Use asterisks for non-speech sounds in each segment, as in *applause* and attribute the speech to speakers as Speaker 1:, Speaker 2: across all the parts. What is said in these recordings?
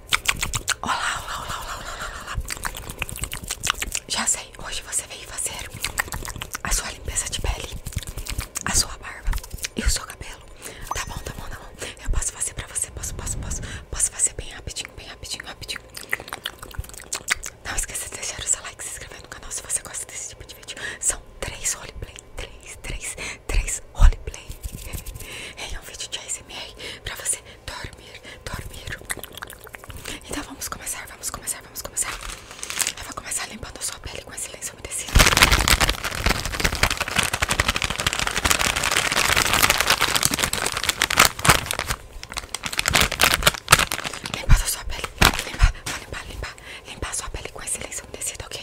Speaker 1: Olá, olá, olá, olá, olá, olá, Já sei, hoje você veio fazer a sua limpeza de pele, a sua barba e o seu cabelo. Tá bom, tá bom, tá bom. Eu posso fazer pra você, posso, posso, posso. Posso fazer bem rapidinho, bem rapidinho, rapidinho. Não esqueça de deixar o seu like, se inscrever no canal se você gosta desse tipo de vídeo. São três roleplay, três, três, três roleplay. *laughs* É um vídeo de ASMR pra você dormir, dormir. Então vamos começar, vamos começar, vamos começar. Eu vou começar limpando sua pele com esse lenço umedecido. Limpar a sua pele, limpar, vou limpar, limpar, sua pele com esse lenço umedecido, ok?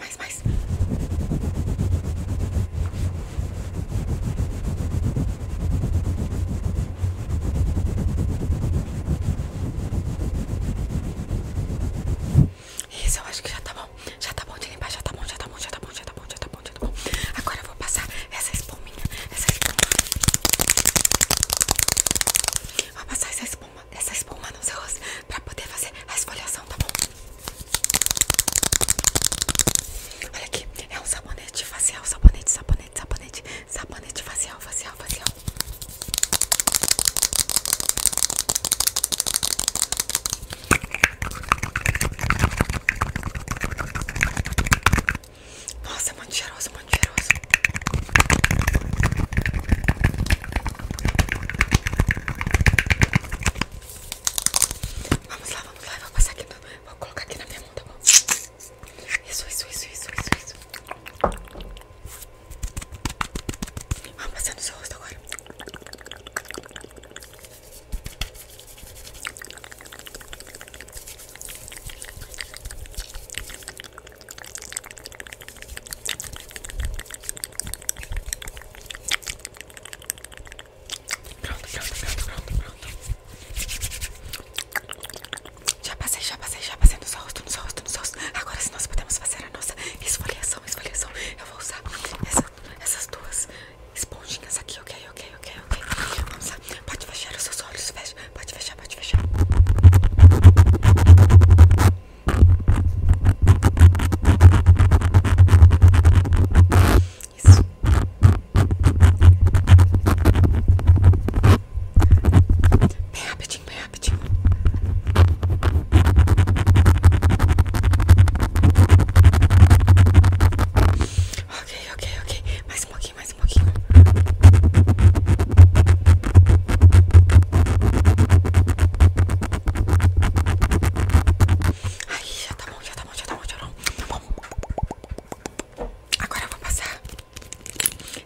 Speaker 1: mais, mais, mais. Isso, eu acho que já tá bom. Já tá bom de limpar, já tá bom, já tá bom, já tá bom, já tá bom, já tá bom, já tá bom. Agora eu vou passar essa espuminha, essa espuma. Vou passar essa espuma, essa espuma no seu rosto pra poder fazer a esfoliação, tá bom? Olha aqui, é um sabonete facial, sabonete, sabonete, sabonete, sabonete facial, facial, facial. Nossa, é muito cheiroso, muito cheiroso. Vamos lá, vamos lá, vou passar aqui, vou colocar aqui na minha mão, tá bom? Isso, isso, isso, isso, isso, isso. Vamos passar no seu rosto agora. Pronto, pronto, pronto, pronto, pronto. Já passei, já passei, já passei no seu rosto, no seu rosto, no rosto. Agora se nós podemos fazer a nossa esfoliação, esfoliação. Eu vou usar essas duas esponjinhas aqui, ok, ok, ok, ok. Vamos lá. Pode fechar os seus olhos, fecha. Pode fechar, pode fechar. Isso. Bem rapidinho, bem rapidinho. Ok, ok, ok. Mais um pouquinho, mais um pouquinho. Aí já tá bom, já tá bom, já tá bom, já tá bom. Tá bom. Agora eu vou passar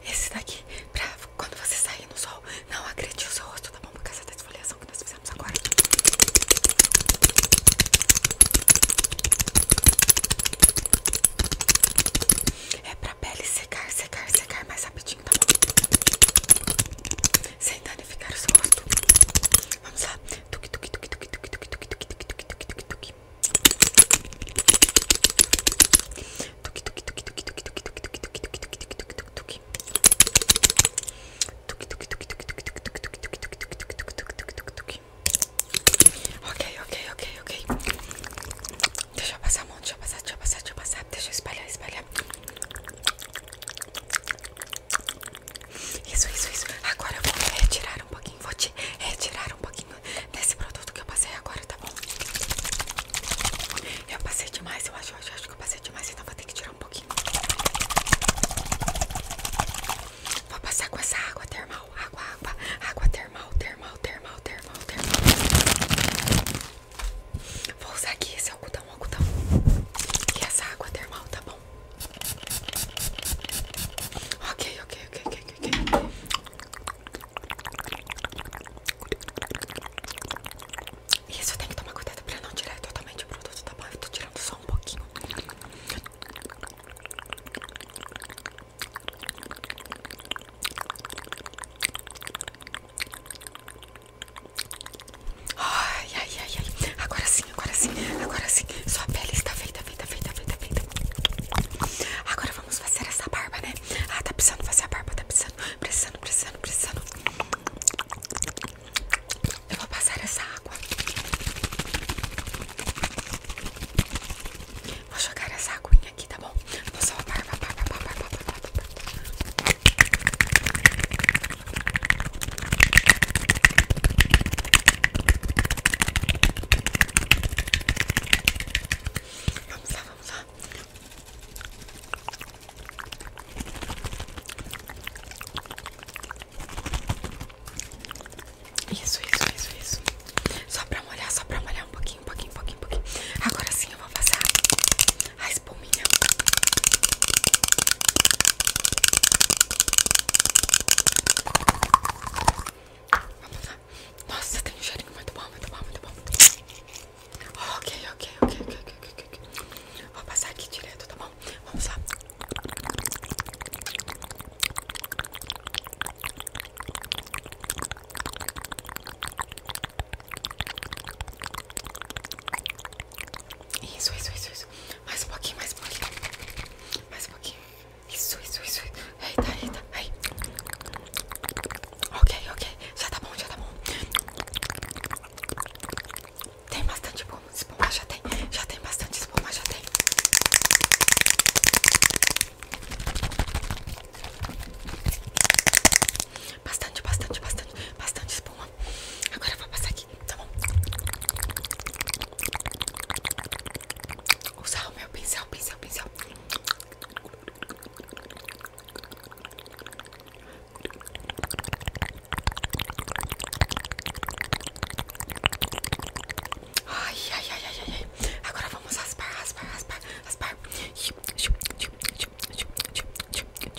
Speaker 1: esse daqui pra quando você sair no sol, não agredir o seu rosto, tá bom? Por causa da esfoliação que nós fizemos agora. É pra pele secar, secar, secar mais rapidinho, tá bom? Sem danificar o seu rosto. Vamos lá. Tuki, tuki, tuki, tuki, tuki, tuki, tuki, tuki, tuki, tuki, tuki, tuki, tuki. Tuki, tuki, tuki, tuki, tuki, tuki, tuki, tuki, tuki, tuki, tuki, tuki, tuki, tuki. Tuki, tuki, tuki, tuki, tuki, tuki, tuki, tuki, tuki, tuki, tuki, tuki, tuki, tuki, tuki, tuki. Ok, ok, ok, ok. Deixa eu passar a mão, deixa eu passar, deixa eu passar, deixa eu passar. Deixa eu espalhar, espalhar. Isso, isso, isso. Agora eu vou retirar um pouquinho. Vou te retirar um pouquinho desse produto que eu passei agora, tá bom? Eu passei demais, eu acho, eu acho, acho que eu passei demais, então vou ter que tirar um pouquinho. Vou passar com essa água termal, água, água, água termal, termal, termal, termal, termal. Vou usar aqui esse algodão, algodão. E essa água termal, tá bom? bom. Ok, ok, ok, ok, ok. Isso, eu tenho que tomar cuidado pra não tirar totalmente o produto, tá bom? Eu tô tirando só um pouquinho. Ai, ai, ai, ai. Agora sim, agora sim, agora sim. Sua pele está feita, feita, feita, feita, feita. Agora vamos fazer essa barba, né? Ah, tá precisando fazer a barba, tá precisando, precisando, precisando, precisando. Eu vou passar essa água. Vou jogar essa aguinha aqui, tá bom? Vou só barba, barba, barba, barba, barba, barba. Vamos lá, vamos lá. Isso, isso, isso, isso. Só pra molhar, só pra molhar um pouquinho, um pouquinho, um pouquinho, um pouquinho. Agora sim eu vou passar a mas por Vamos lá. Nossa, tem um cheirinho muito bom, muito bom, muito bom. Ok, ok, ok, ok, ok, ok. Vou passar aqui direto, tá bom? Vamos lá. Isso, isso, isso, isso. Mais um pouquinho, mais um pouquinho. Mais um pouquinho. Isso, isso, isso. Eita, eita. Ai. Ok, ok. Já tá bom, já tá bom. Tem bastante espuma. Espuma já tem. Já tem bastante espuma, já tem. Bastante, bastante, bastante. Bastante espuma. Agora eu vou passar aqui, tá bom? Usar o meu pincel, pincel, pincel. Ai, ai, ai, ai, ai, Agora vamos raspar, raspar, raspar, raspar.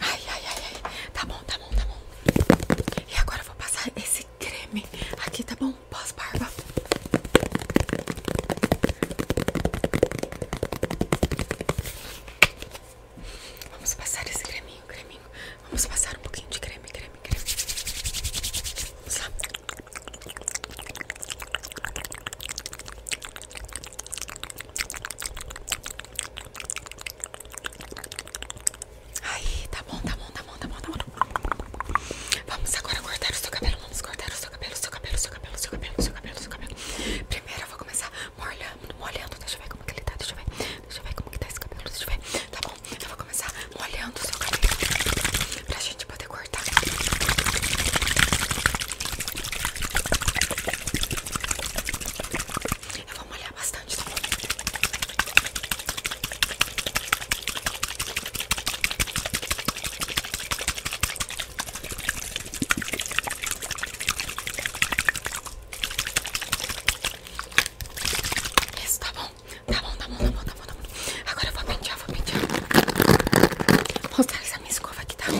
Speaker 1: Ai, ai, ai, ai. Tá bom, tá bom, tá bom. E agora eu vou passar esse creme aqui, tá bom? Pós-barba. Vamos passar esse creminho, creminho. Vamos passar um pouquinho de creme, creme, creme. Vamos lá. Aí, tá bom, tá bom, tá bom, tá bom, tá bom. Vamos agora cortar o seu cabelo, vamos cortar o seu cabelo, seu cabelo, seu cabelo, seu cabelo, seu cabelo, seu cabelo. Primeiro eu vou começar molhando, molhando, deixa eu ver como que ele tá, deixa eu ver, deixa eu ver como que tá esse cabelo, deixa eu ver. Tá bom, eu vou começar molhando o seu cabelo pra gente poder cortar. Eu vou molhar bastante, tá bom? Isso, tá, tá bom, tá bom, tá bom, tá bom, tá bom, Agora eu vou pentear, vou pentear. Vou mostrar essa minha escova aqui, tá?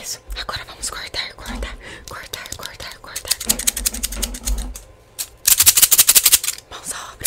Speaker 1: Isso, agora vamos cortar, cortar, cortar, cortar, cortar. Mãos à obra.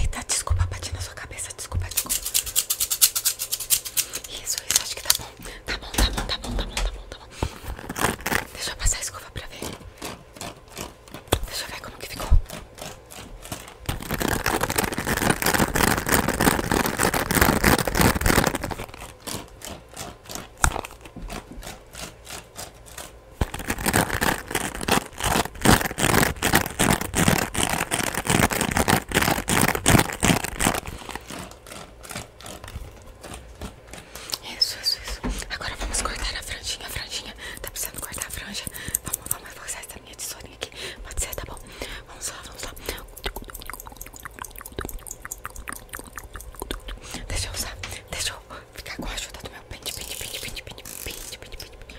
Speaker 1: Eita, desculpa, bati na sua cabeça. Desculpa, desculpa. Isso, isso, acho que tá bom. Tá bom, tá bom, tá bom, tá bom, tá bom, tá bom. Deixa eu passar a escova pra ver. Deixa eu ver como que ficou. Isso, isso, isso. Agora vamos cortar a franjinha, a franjinha. Tá precisando cortar a franja. Vamos, vamos forçar essa linha de tesourinha aqui. Pode ser, tá bom? Vamos lá, vamos lá. Deixa eu usar, deixa eu ficar com a ajuda do meu pente, pente, pente, pente, pente, pente, pente, pente, pente.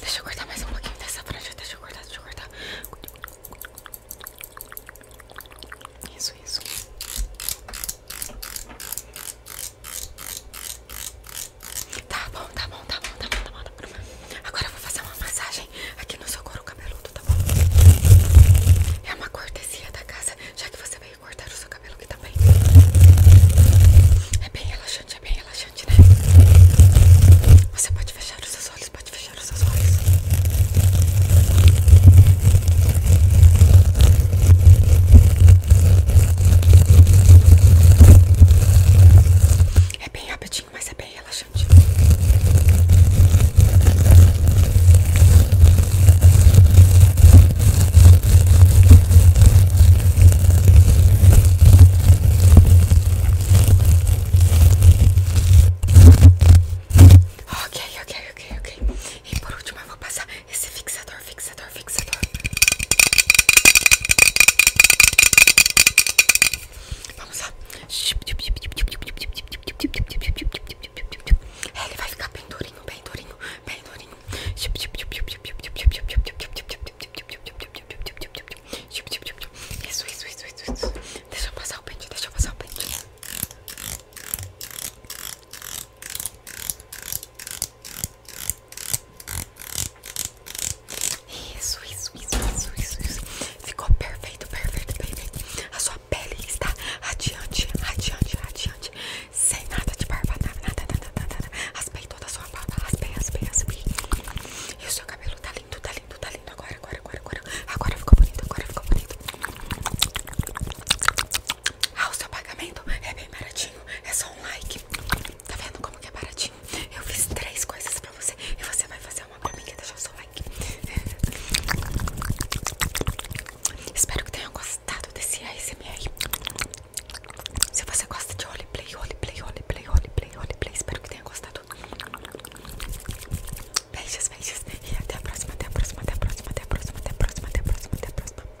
Speaker 1: Deixa eu cortar mais um pouquinho dessa franja. Deixa eu cortar, deixa eu cortar. Isso, isso. Tá bom, tá bom, tá bom, tá bom, tá bom, tá bom. Agora eu vou fazer uma massagem aqui no seu couro cabeludo, tá bom? É uma cortesia da casa, já que você veio cortar o seu cabelo aqui também. É bem relaxante, é bem relaxante, né? Você pode fechar os seus olhos, pode fechar os seus olhos. É bem rapidinho, mas é bem relaxante. Ok, ok, ok, ok. E por último eu vou passar esse fixador, fixador, fixador. Vamos lá. Ele vai ficar pendurado durinho, bem durinho, bem durinho. Isso, isso, isso, isso, isso. Deixa eu passar o pente, deixa eu passar o pente. Isso, isso, isso, isso, isso, isso. Ficou perfeito, perfeito, perfeito. A sua pele está radiante, radiante, radiante, sem nada de barba, nada, nada, nada, nada, nada. Raspei toda a sua barba, raspei, raspei, raspei. E o seu cabelo tá lindo, tá lindo, tá lindo. Agora, agora, agora, agora. Agora ficou bonito, agora ficou bonito. Ah, o seu pagamento é bem baratinho, é só um like. Tá vendo como que é baratinho? Eu fiz três coisas pra você e você vai fazer uma pra mim que é deixar o seu like. Espero que tenham gostado desse ASMR. Se você gosta de roleplay, roleplay, roleplay, roleplay, roleplay, espero que tenha gostado. Beijos, beijos. E até a próxima, até a próxima, até a próxima, até a próxima, até a próxima, até a próxima, até a próxima.